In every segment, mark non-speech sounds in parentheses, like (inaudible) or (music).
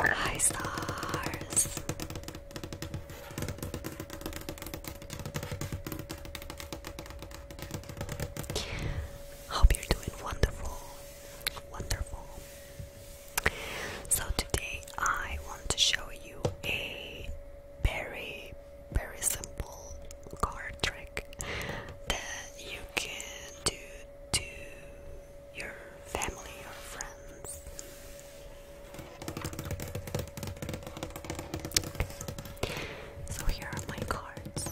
Hi stars. Hope you're doing wonderful. Wonderful. So today I want to show you a very very simple card trick that you can do to your family or friends. So here are my cards.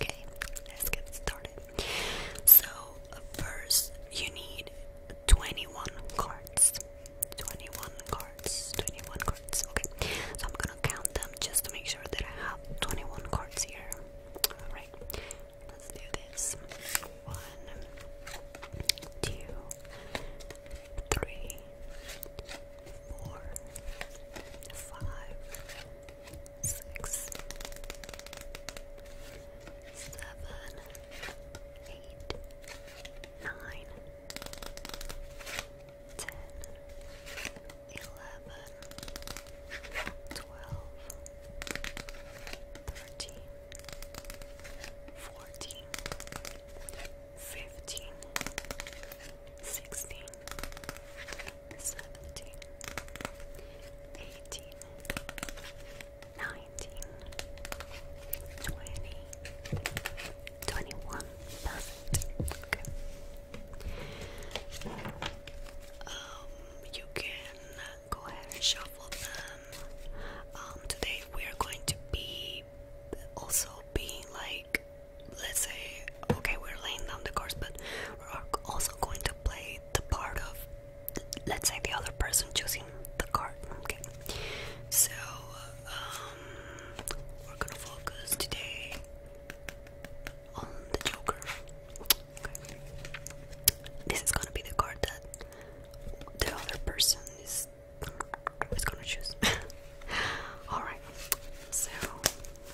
Okay, let's get started. So, uh, first, you need 21 cards. 21 cards. 21 cards. Okay. So I'm gonna count them just to make sure that I have 21 cards here. Alright. Let's do this. One, two, three, four, five, six, seven, eight, nine, ten, eleven, twelve, thirteen, fourteen, fifteen, sixteen, seventeen, eighteen, nineteen, twenty. 21 21. Perfect. Okay. Um, you can go ahead and shuffle them. Um, today we are going to be also being like, let's say, okay, we're laying down the course, but we're also going to play the part of, let's say, the other person choosing the card. Okay. So, um, we're gonna focus today on the Joker. This is gonna be the card that the other person is is gonna choose. (laughs) Alright, so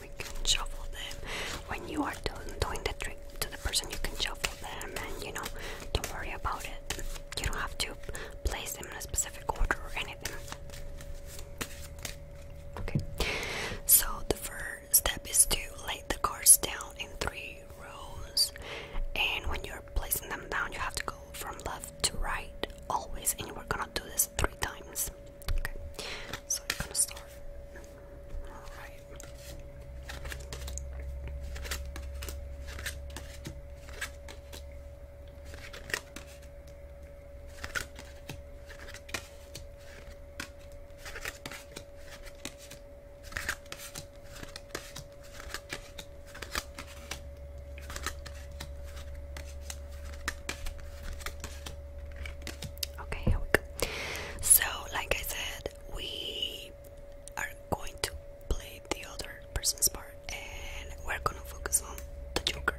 we can shuffle them. When you are done doing the trick to the person, you can shuffle them and you know, don't worry about it. You don't have to place them in a specific order or anything. Okay. So the first step is to lay the cards down in three rows, and when you're placing them down, you have to go from left to right always, and you are gonna do this three times. Okay. So you're gonna start. All right. Okay, here we go. So, like I said, we are going to play the other person's part and we're gonna focus on the joker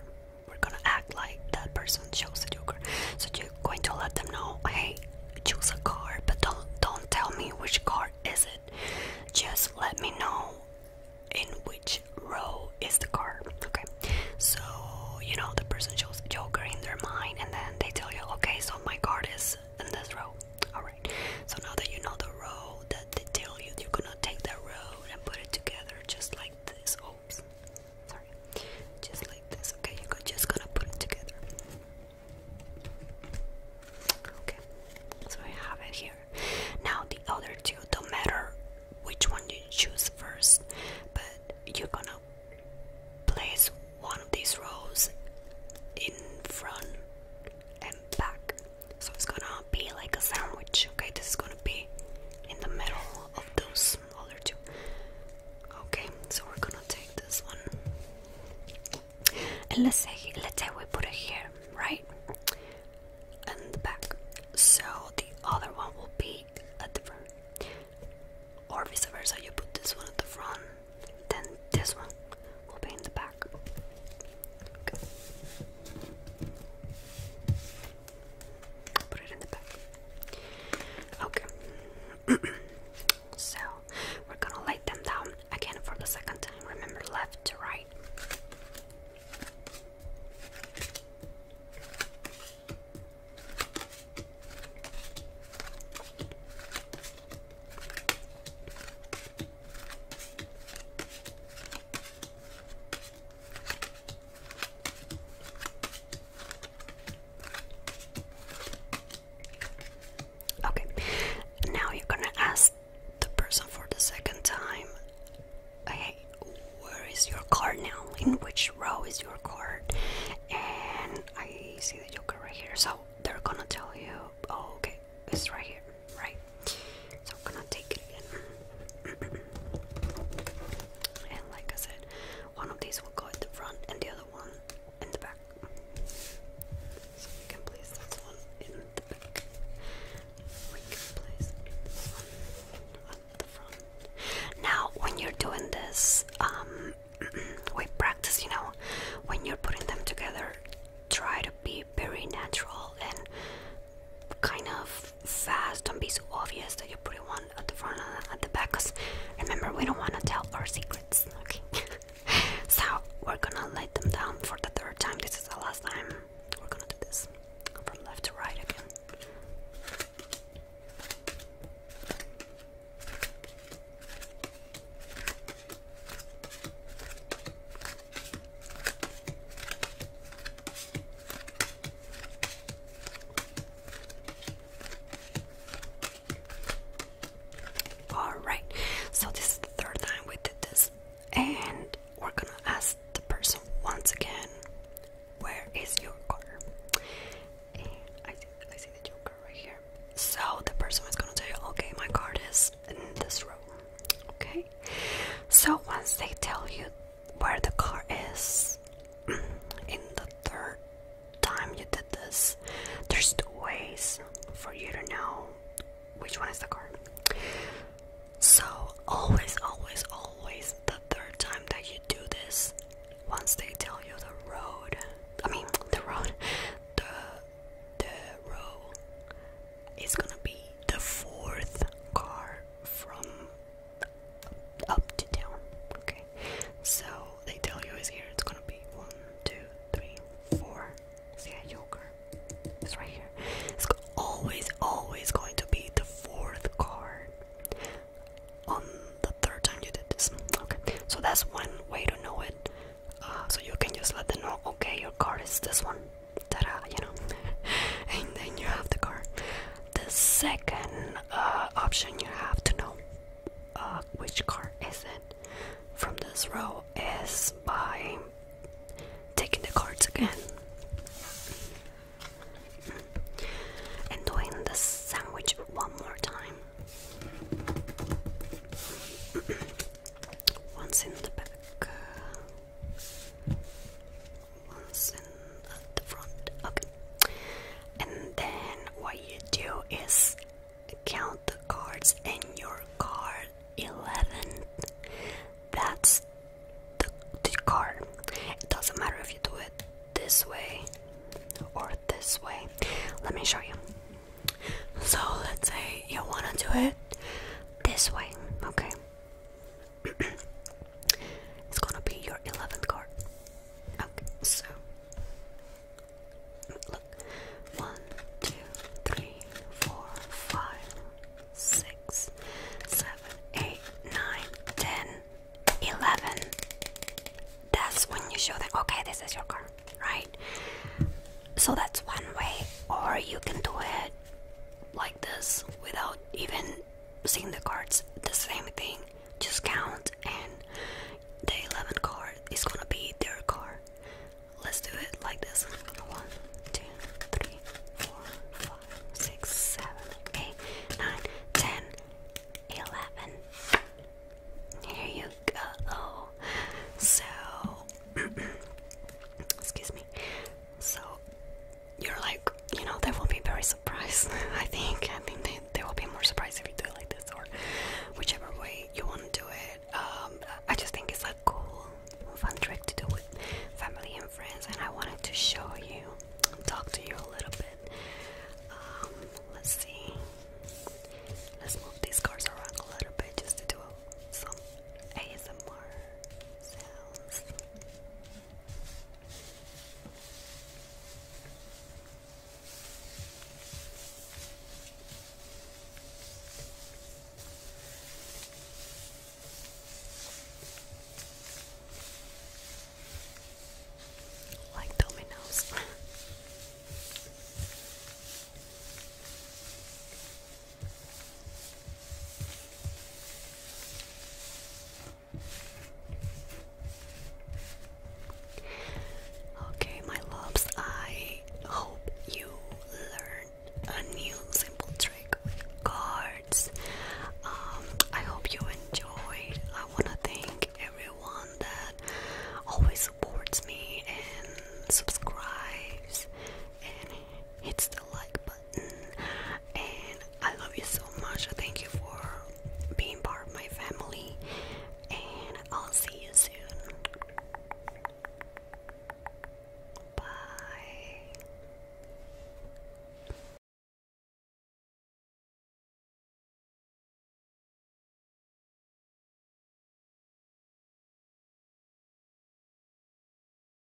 we're gonna act like that person shows the joker so you're going to let them know hey choose a card but don't don't tell me which card is it just let me know in which row is the card okay so you know the person shows joker in their mind and then they tell you okay so my card is in this row all right so now that you know the row that they tell you you're gonna take that road and put it together just like this. Oops, sorry, just like this. Okay, you're just gonna put it together. Okay, so I have it here. Now the other two don't matter which one you choose first, but you're gonna place one of these rows in front and back so it's gonna be like a sandwich, okay? This is gonna be in the middle of those other two. Okay, so we're gonna take this one. And let's say let's say we put it here, right? And the back. So the other one will be at the front. Or vice versa, you put this one at the front, then this one will be in the back. Go. Put it in the back. Okay. (clears throat) so we're gonna lay them down again for the second time. Remember left to right. Okay, now you're gonna ask the person for the second time hey, where is your card now? In which row is your card? And I see the joker right here, so they're gonna tell you, oh, okay, it's right here right? So I'm gonna take it (clears throat) and like I said, one of these will go at the front and the other one in the back. So we can place this one in the back. We can place this one at the front. Now, when you're doing this, um, (clears throat) we practice, you know, when you're putting them together, try to be very natural and kind of fast. Don't be so obvious that you put it one at the front and at the back. Cause remember, we don't want to tell our secrets. Okay. (laughs) so we're gonna lay them down for the third time. This is the last time. We're gonna do this from left to right again. Alright, so this is the third time we did this, and we're gonna ask the person once again, Where is your card?" And I see, I see the joker right here. So the person is gonna tell you, Okay, my card is in this row. Okay, so once they tell you where the car is, (clears throat) in the third time you did this, there's two ways for you to know which one is the car. So always, always, always, the third time that you do this, once they tell you the road, I mean the road, the the row, it's gonna be the fourth car from up to down. Okay, so they tell you is here. It's gonna be one, two, three, four. See a joker. It's right here. It's always, always going to be the fourth card on the third time you did this. Okay, so that's one way to know it. Uh, so you can just let them know, okay, your card is this one ta you know, (laughs) and then you have the car. The second uh, option you have to know uh, which car is it from this row is by taking the cards again mm-hmm. and doing the sandwich one more time. (clears throat) Once in the back listen at the front. Okay. And then what you do is count the cards in your card 11. That's the, the card. It doesn't matter if you do it this way or this way. Let me show you. So let's say you want to do it this way, okay? (coughs) it's gonna be your 11th card. so look 1, That's when you show them, okay, this is your card, right? So that's one way, or you can do it. like this without even seeing the cards. The same thing, just count, and the 11 card is gonna be their card. Let's do it like this one, two, three, four, five, six, seven, eight, nine, ten, eleven. Here you go. So, (clears throat) excuse me. So, you're like, you know, they will be very surprised. (laughs) I think, I think they, they will be more surprised if you do it like this or whichever way you want to do it. Um, I just think it's like cool, fun trick to do with family and friends, and I wanted to show you, talk to you a little bit. Um, let's see. Let's move these cards around a little bit just to do some ASMR sounds. Like dominoes. (laughs) Okay, my loves, I hope you learn a new simple trick with cards. Um, I hope you enjoyed. I want to thank everyone that always supports me and subscribes and hits the like button and I love you so much. Thank you for being part of my family, and I'll see you soon. Bye.